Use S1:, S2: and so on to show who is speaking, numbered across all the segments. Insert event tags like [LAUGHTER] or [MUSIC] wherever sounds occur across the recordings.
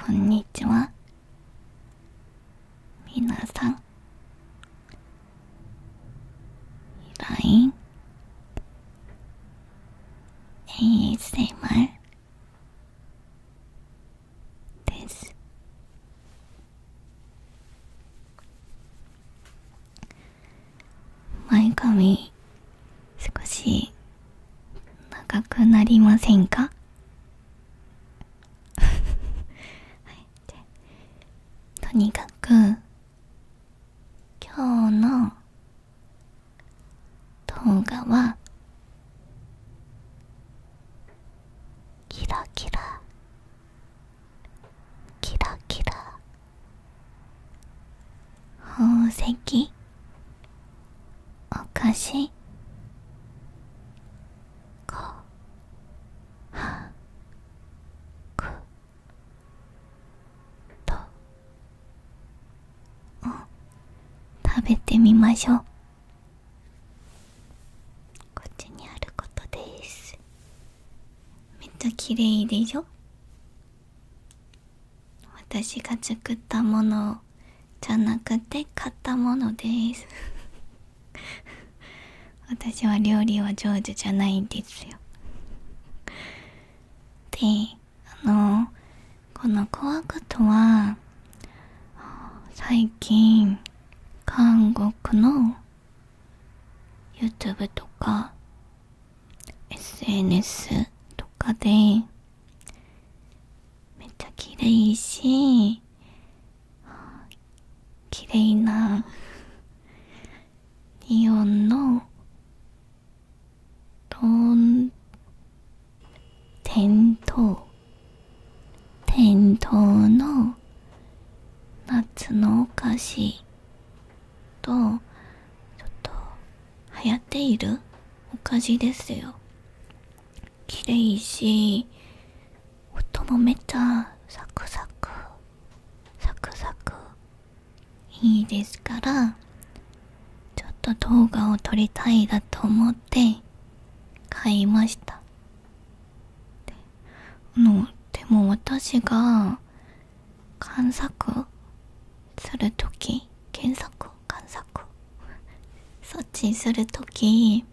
S1: こんにちはみなさん LINE ASMR です前髪少し長くなりませんか [LAUGHS] とにかく今日の動画はキラキラキラキラ宝石お菓子こはくと食べてみましょうこっちにあることですめっちゃ綺麗でしょ私が作ったものじゃなくて買ったものです [LAUGHS] 私は料理は上手じゃないんですよであのこの怖くとは最近韓国の YouTube とか SNS とかでめっちゃ綺麗し綺麗なリオンのとん店頭店頭の夏のお菓子とちょっと流行っているお菓子ですよ綺麗し音もめっちゃサクサクサクサクいいですからちょっと動画を撮りたいだと思って買いましたでも私が観察する時検索観察そっちする時。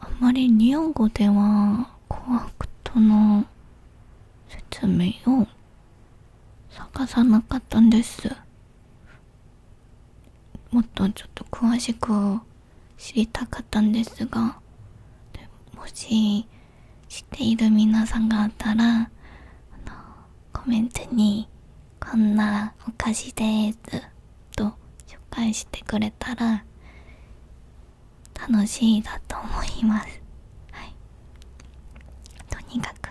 S1: あんまり日本語ではコアクトの説明を探さなかったんですもっとちょっと詳しく知りたかったんですがもし知っている皆さんがあったらあのコメントに「こんなお菓子です」と紹介してくれたら楽しいだと思いますはいとにかく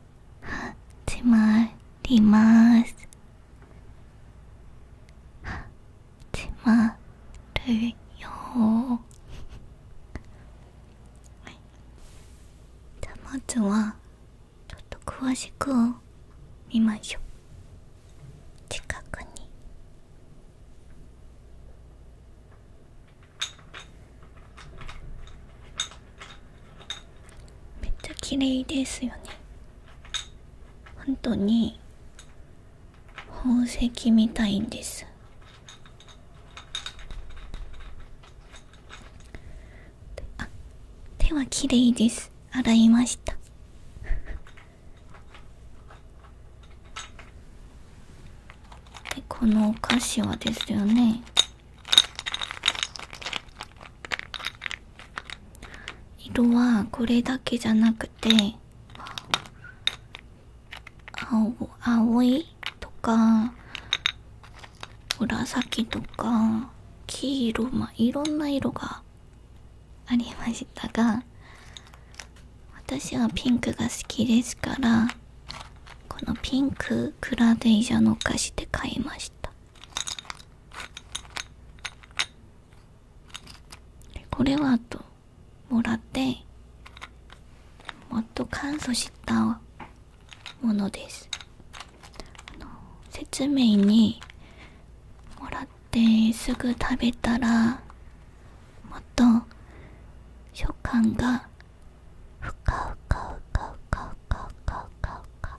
S1: 始まります始まるよはいじゃあまずはちょっと詳しく見ましょう近くにめっちゃ綺麗ですよね本当に宝石みたいんですあ手は綺麗です洗いましたでこのお菓子はですよね色はこれだけじゃなくて青青いとか紫とか黄色まいろんな色がありましたが私はピンクが好きですからこのピンククラデージャのお菓子で買いましたこれはあともらってもっと簡素したものです説明にもらってすぐ食べたらもっと食感がふかふかふかふかふかふかふか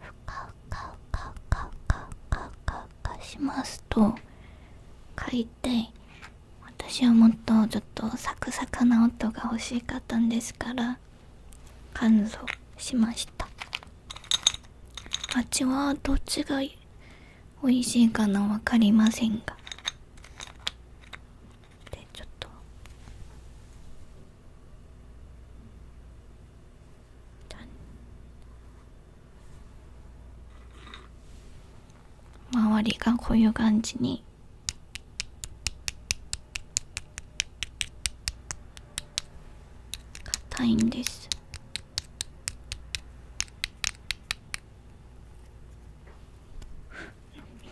S1: ふかふかふかふかふかふかふかしますと書いて私はもっとちょっとサクサクな音が欲しかったんですから乾燥しました味はどっちが美味しいかな分かりませんがでちょっと周りがこういう感じに硬いんです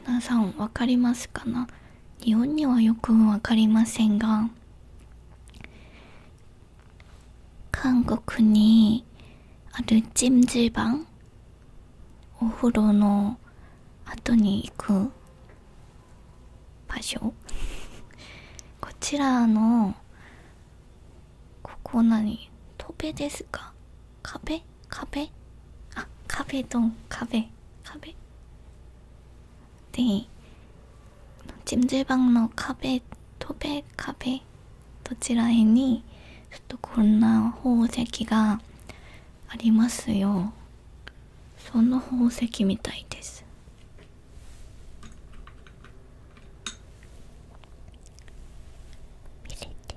S1: 皆さん分かりますかな日本にはよく分かりませんが韓国にあるジ찜질방お風呂の後に行く場所こちらのここ何戸辺ですか壁壁あ壁ドン壁壁で침대방の壁、戸辺壁どちらへにちょっとこんな宝石がありますよその宝石みたいです見れて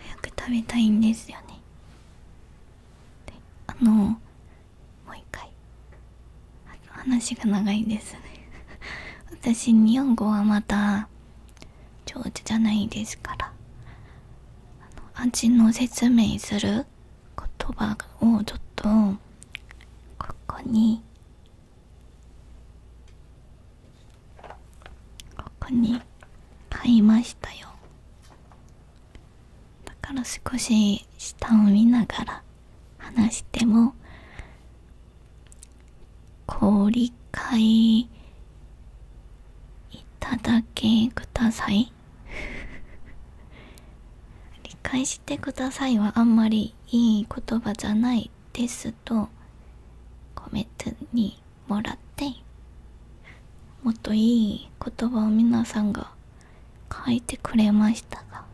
S1: 早く食べたいんですよねあのもう一回話が長いですね [LAUGHS] 私日本語はまた上手じゃないですから味の説明する言葉をちょっとここにここに買いましたよだから少し下を見ながら話しても「氷買いいただけください [LAUGHS] 理解してくださいはあんまりいい言葉じゃないですとコメントにもらってもっといい言葉を皆さんが書いてくれましたが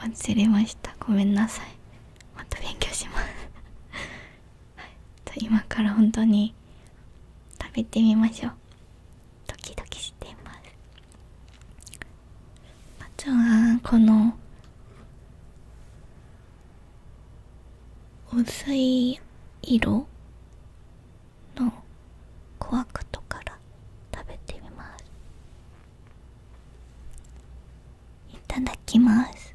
S1: 忘れましたごめんなさいまた勉強します今から本当に食べてみましょうドキドキしていますあとはこの薄い色のコアクトから食べてみますいただきます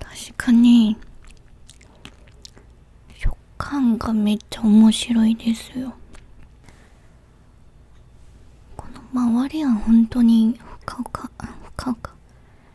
S1: 確かに食感がめっちゃ面白いですよこの周りは本当にふかふかふかふか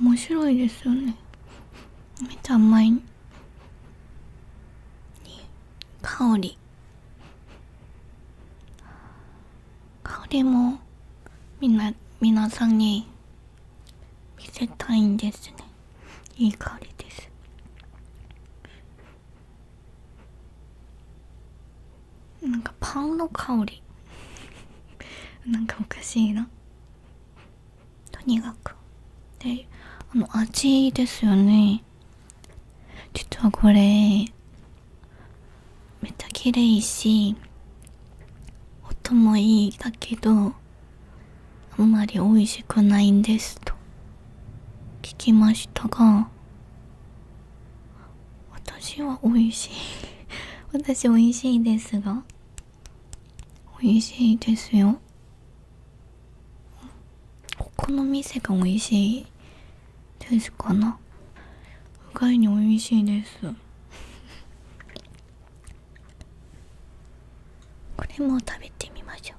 S1: 面白いですよねめちゃ甘い香り香りもみな皆さんに見せたいんですねいい香りですなんかパンの香りなんかおかしいなとにかくであの味ですよね実はこれめっちゃ綺麗し音もいいだけどあんまり美味しくないんですと聞きましたが私は美味しい [LAUGHS] 私美味しいですが美味しいですよここの店が美味しいですかな意外に美味しいです [LAUGHS] これも食べてみましょう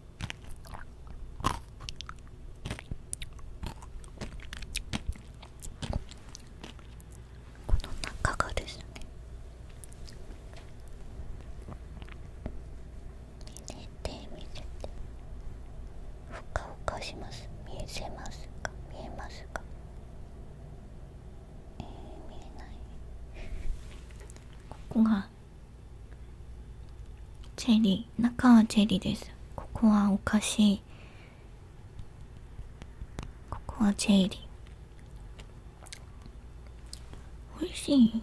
S1: この中がですね寝て見せてふかふかします見えせますか見えますかえ見えないここがチェリー中はチェリーですここはお菓子ここはチェリー美味しい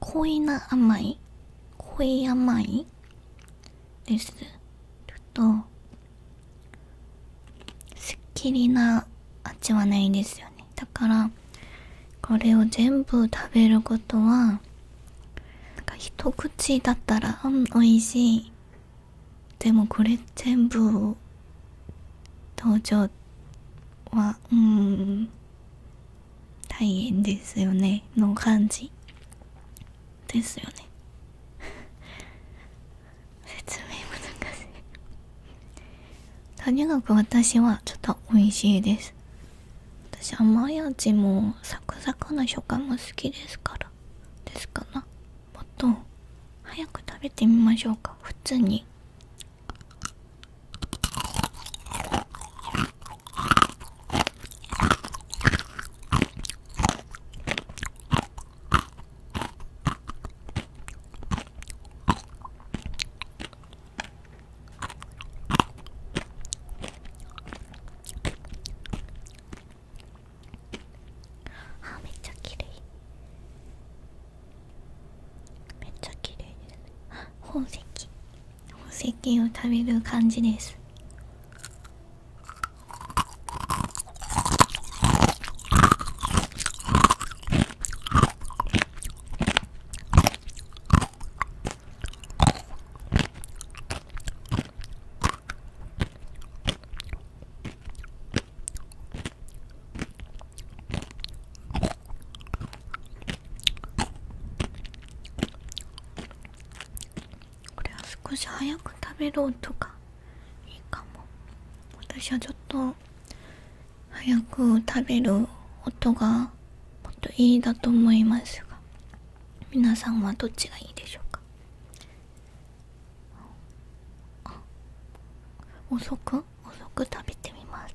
S1: 恋な甘い恋甘いですとすっきりな味はないですよねだからこれを全部食べることはなんか一口だったら、うん、美味しいでもこれ全部登場はうん大変ですよねの感じですよね [LAUGHS] 説明難しいとにかく私はちょっと美味しいです私甘い味もサクサクな食感も好きですからですかなもっと早く食べてみましょうか普通にあめっちゃ綺麗めっちゃ綺麗です宝石宝石を食べる感じですこれは少し早く食べる音がいいかも私はちょっと早く食べる音がもっといいだと思いますが皆さんはどっちがいいでしょうかあ遅く遅く食べてみます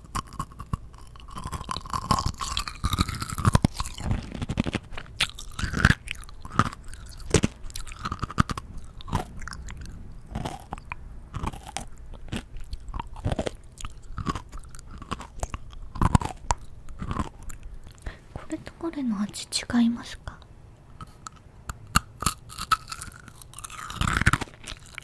S1: これとこれの味違いますか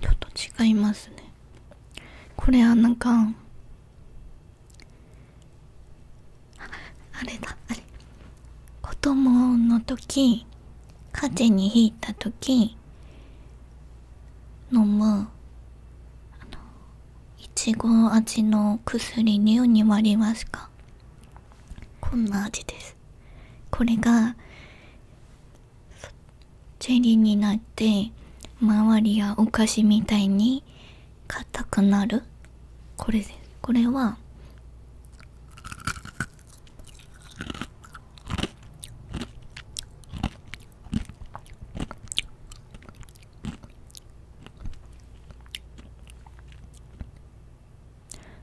S1: ちょっと違いますねこれはなんかあれだあれ子供の時風事に引いた時飲むあのいちご味の薬に4に割りますかこんな味ですですこれがジェリーになって周りがお菓子みたいに硬くなるこれですこれは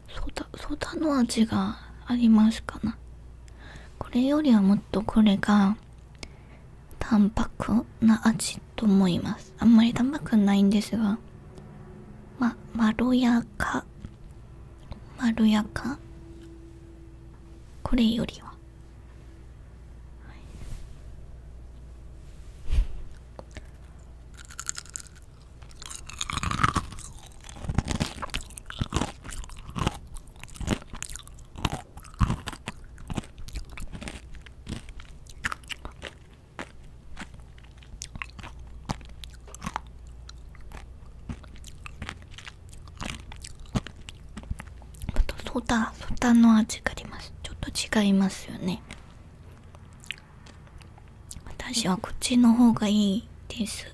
S1: ソーダソダの味がありますかなこれよりはもっとこれが淡白な味と思いますあんまり淡白ないんですがままろやかまろやかこれよりは、はい、またソダソダの味がありますちょっと違いますよね私はこっちの方がいいです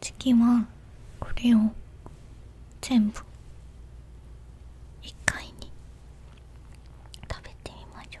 S1: 次はこれを全部一回に食べてみましょう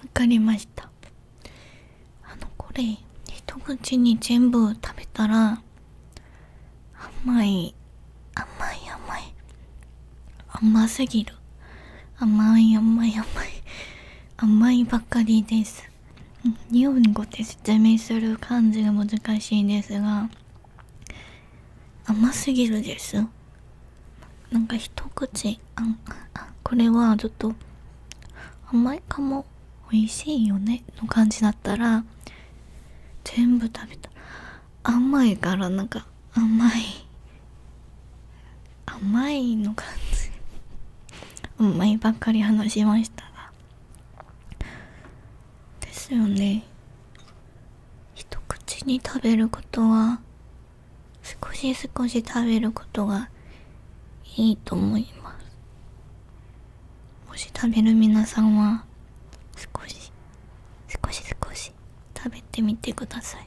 S1: 分かりましたあのこれ一口に全部食べたら甘い甘い甘い甘すぎる甘い甘い甘い甘いばかりです日本語で説明する感じが難しいですが甘すぎるですなんか一口あんこれはちょっと甘いかも美味しいよねの感じだったら全部食べた甘いからなんか甘い甘いの感じ甘いばっかり話しましたがですよね一口に食べることは少し少し食べることがいいと思いますもし食べる皆さんは少し少し少し食べてみてください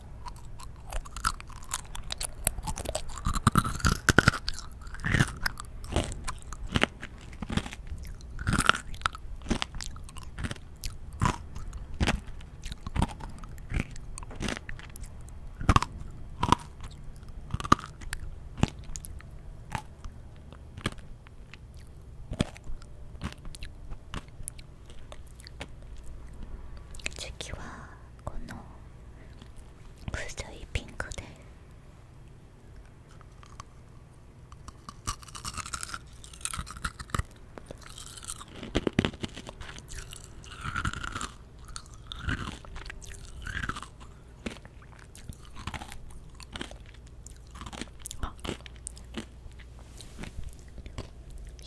S1: 次はこの薄いピンクで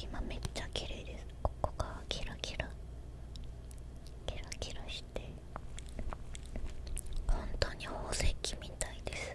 S1: 今めっちゃ綺麗ですここがキラキラキラキラして本当に宝石みたいです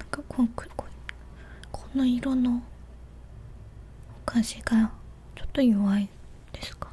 S1: なんかこうこの色のお菓子がちょっと弱いですかな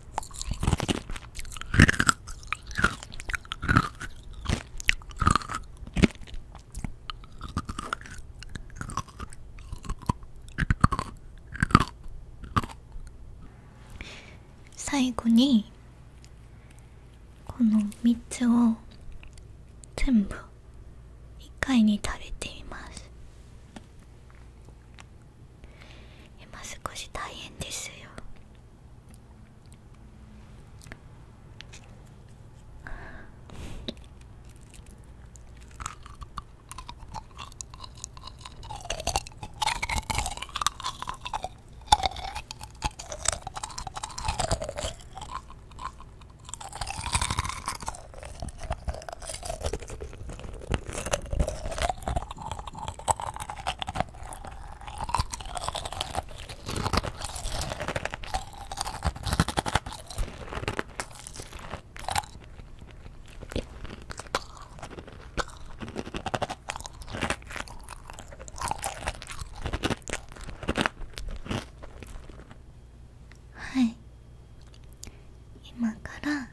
S1: 最後にこの3つを全部1回に食べてみます今少し大変ですよはい今から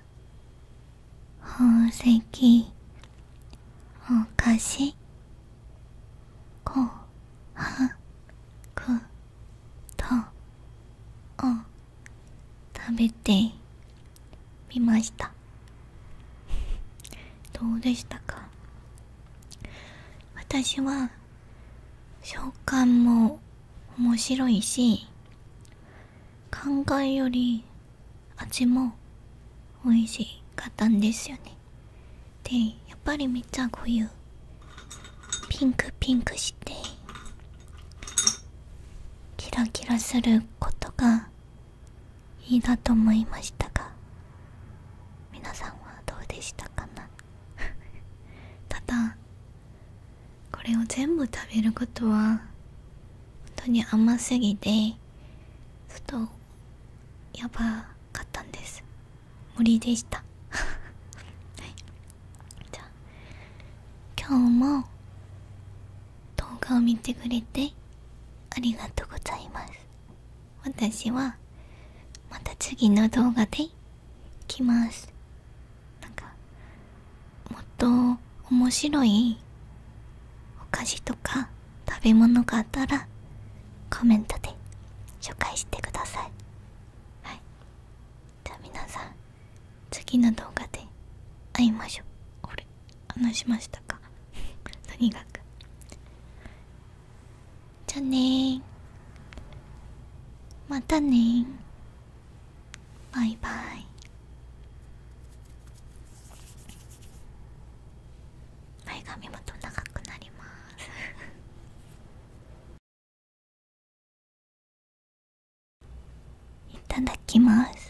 S1: 宝石お菓子こはくとを食べてみました [LAUGHS] どうでしたか私は食感も面白いし考えより味も美味しかったんですよねでやっぱりめっちゃこういうピンクピンクしてキラキラすることがいいだと思いましたが皆さんはどうでしたかな [LAUGHS] ただこれを全部食べることは本当に甘すぎてちょっとやばかったんです森でした [LAUGHS] はいじゃあ今日も動画を見てくれてありがとうございます私はまた次の動画で来ますなんかもっと面白いお菓子とか食べ物があったらコメントで紹介してくださいはいじゃあ皆さん次の動画で会いましょうこれ話しましたか [LAUGHS] とにかくじゃあねまたねバイバイ前髪もと長くなり
S2: ます [LAUGHS] いただきます